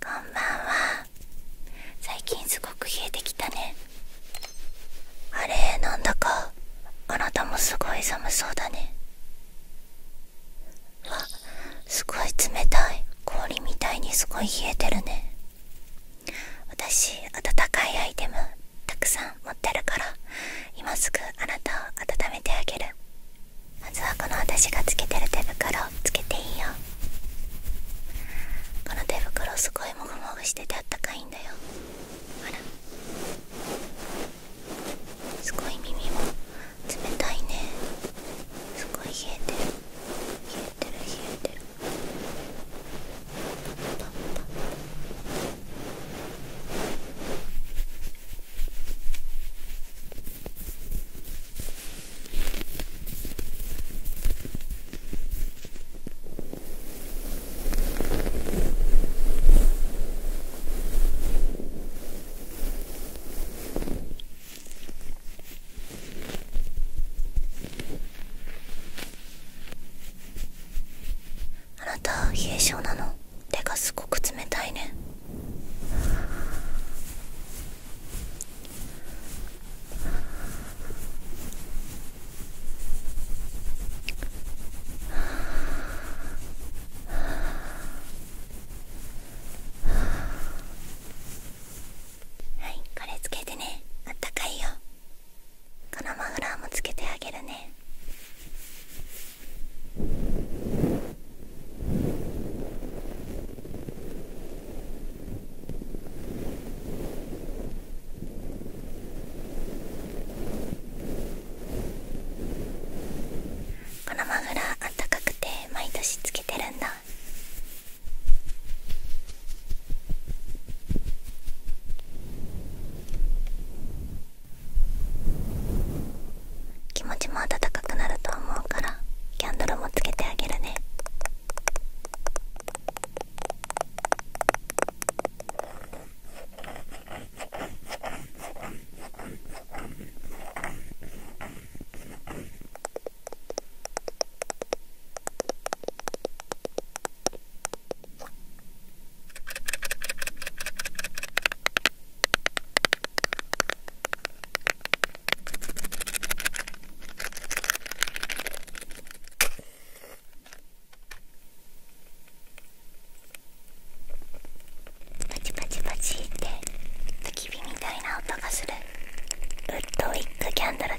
こんばんは最近すごく冷えてきたねあれなんだかあなたもすごい寒そうだねわっ、すごい冷たい氷みたいにすごい冷えてるね私温かいアイテムたくさん持ってるから今すぐあなたを温めてあげるまずはこの私がつけてる手袋つけていいよこの手袋すごいもぐもぐしててあったかいんだよほらすごい耳も冷たいねすごい冷えてる冷えてる冷えてるパンパンあなた冷え性なの手がすごく冷たいねはいこれつけてねあったかいよこのマフラーもつけてあげるねこのマフラーあったかくて毎年つけてるんだ気持ちも温かくなると思うからキャンドルもつけてあげるねパチパチパチって焚き火みたいな音がするウッドウィッグキャンドルだよ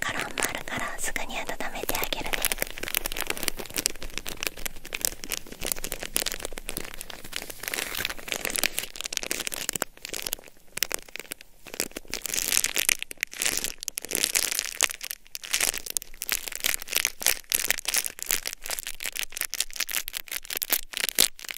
カロンもあるからすぐに温めてあげるねかの「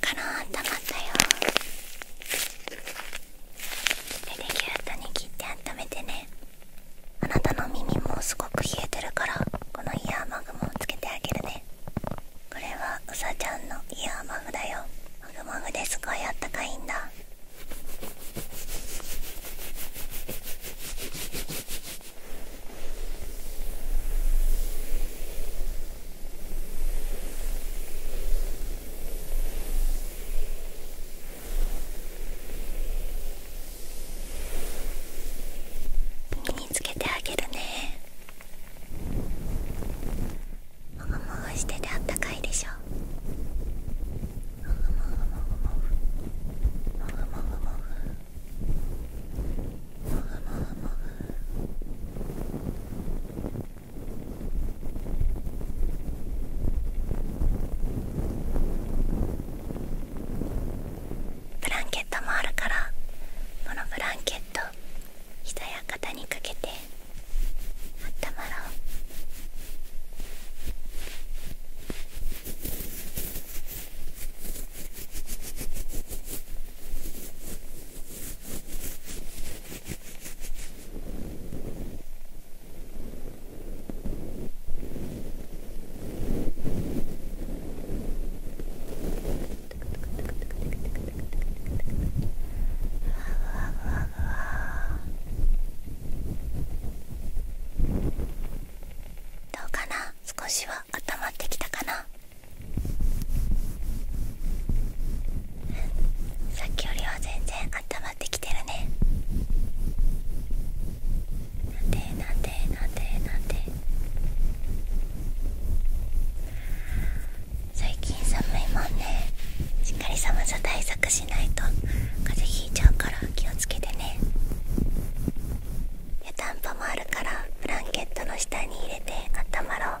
から温まったよ手でギューッに切って温めてねあなたの耳もすごく冷えてるからこのイヤーマグもつけてあげるねこれはうさちゃんのイヤーマグだよマグマグですごいあったかいんだにつけてあげるねもごもごしててあったかいでしょもぐもぐもぐもぐもぐもぐもぐふもふもブランケットもあるからこのブランケット膝や肩にかけてあったまろうどうかな少しは温まってきたかなさっきよりは全然温まってきてるね最近寒いもんねしっかり寒さ対策しないと風邪ひいちゃうから気をつけてね湯たんぽもあるからブランケットの下に入れて温まろう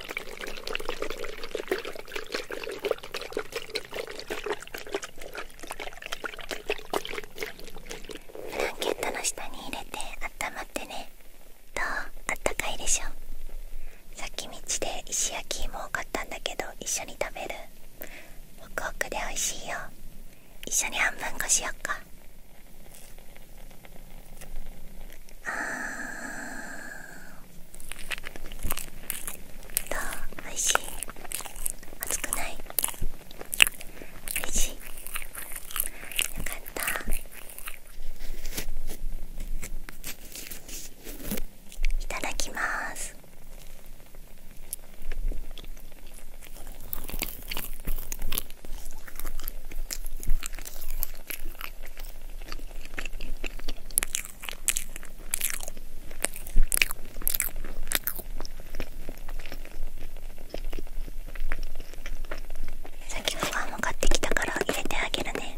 フランケットの下に入れて温まってねどうあったかいでしょさっき道で石焼き芋を買ったんだけど一緒に食べるホクホクで美味しいよ一緒に半分こしよっかあーどうおいしい熱くないおいしいよかったいただきます先っきのご飯買ってきたから入れてあげるね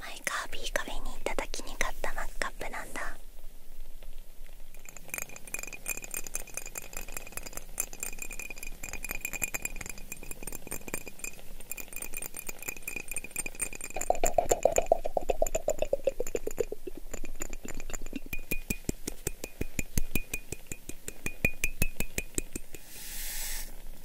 マイカービィカフェに行った時に買ったマグカップなんだ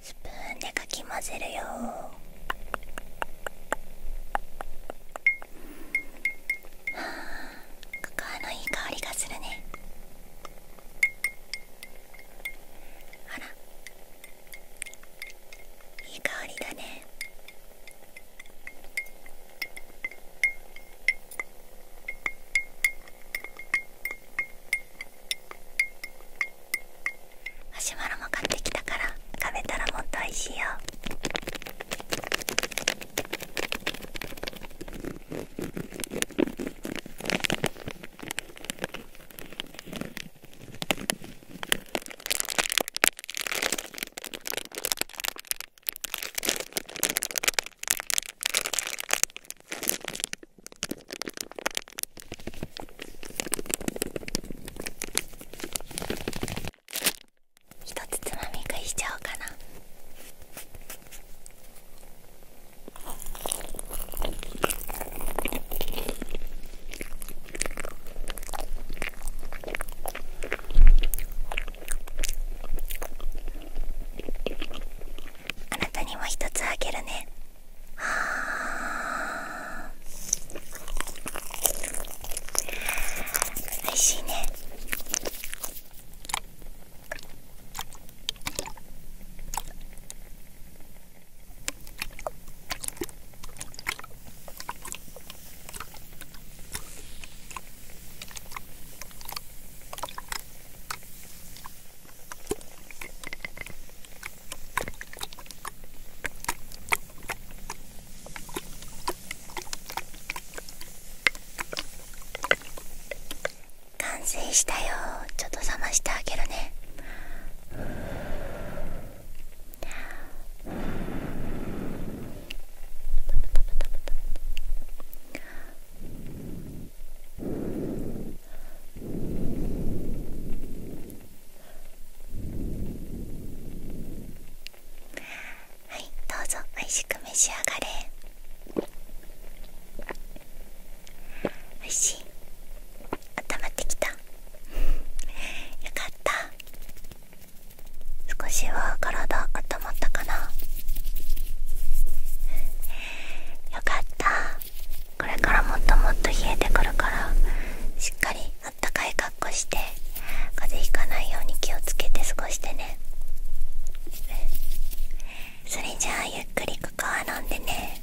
スプーンでかき混ぜるよカカのいい香りがするねあらいい香りだねマシュマロも買ってきたから食べたらもっと美味しいよひつつまみ食いしちゃおうかな。あなたにも一つあげるねはあおいしいね完成したよちょっと冷ましてあげるねはいどうぞ美味しく召し上がれ美味しい温まってきたよかった少しは体温まったかなよかったこれからもっともっと冷えてくるからしっかりあったかい格好して風邪ひかないように気をつけて過ごしてねそれじゃあゆっくりここは飲んでね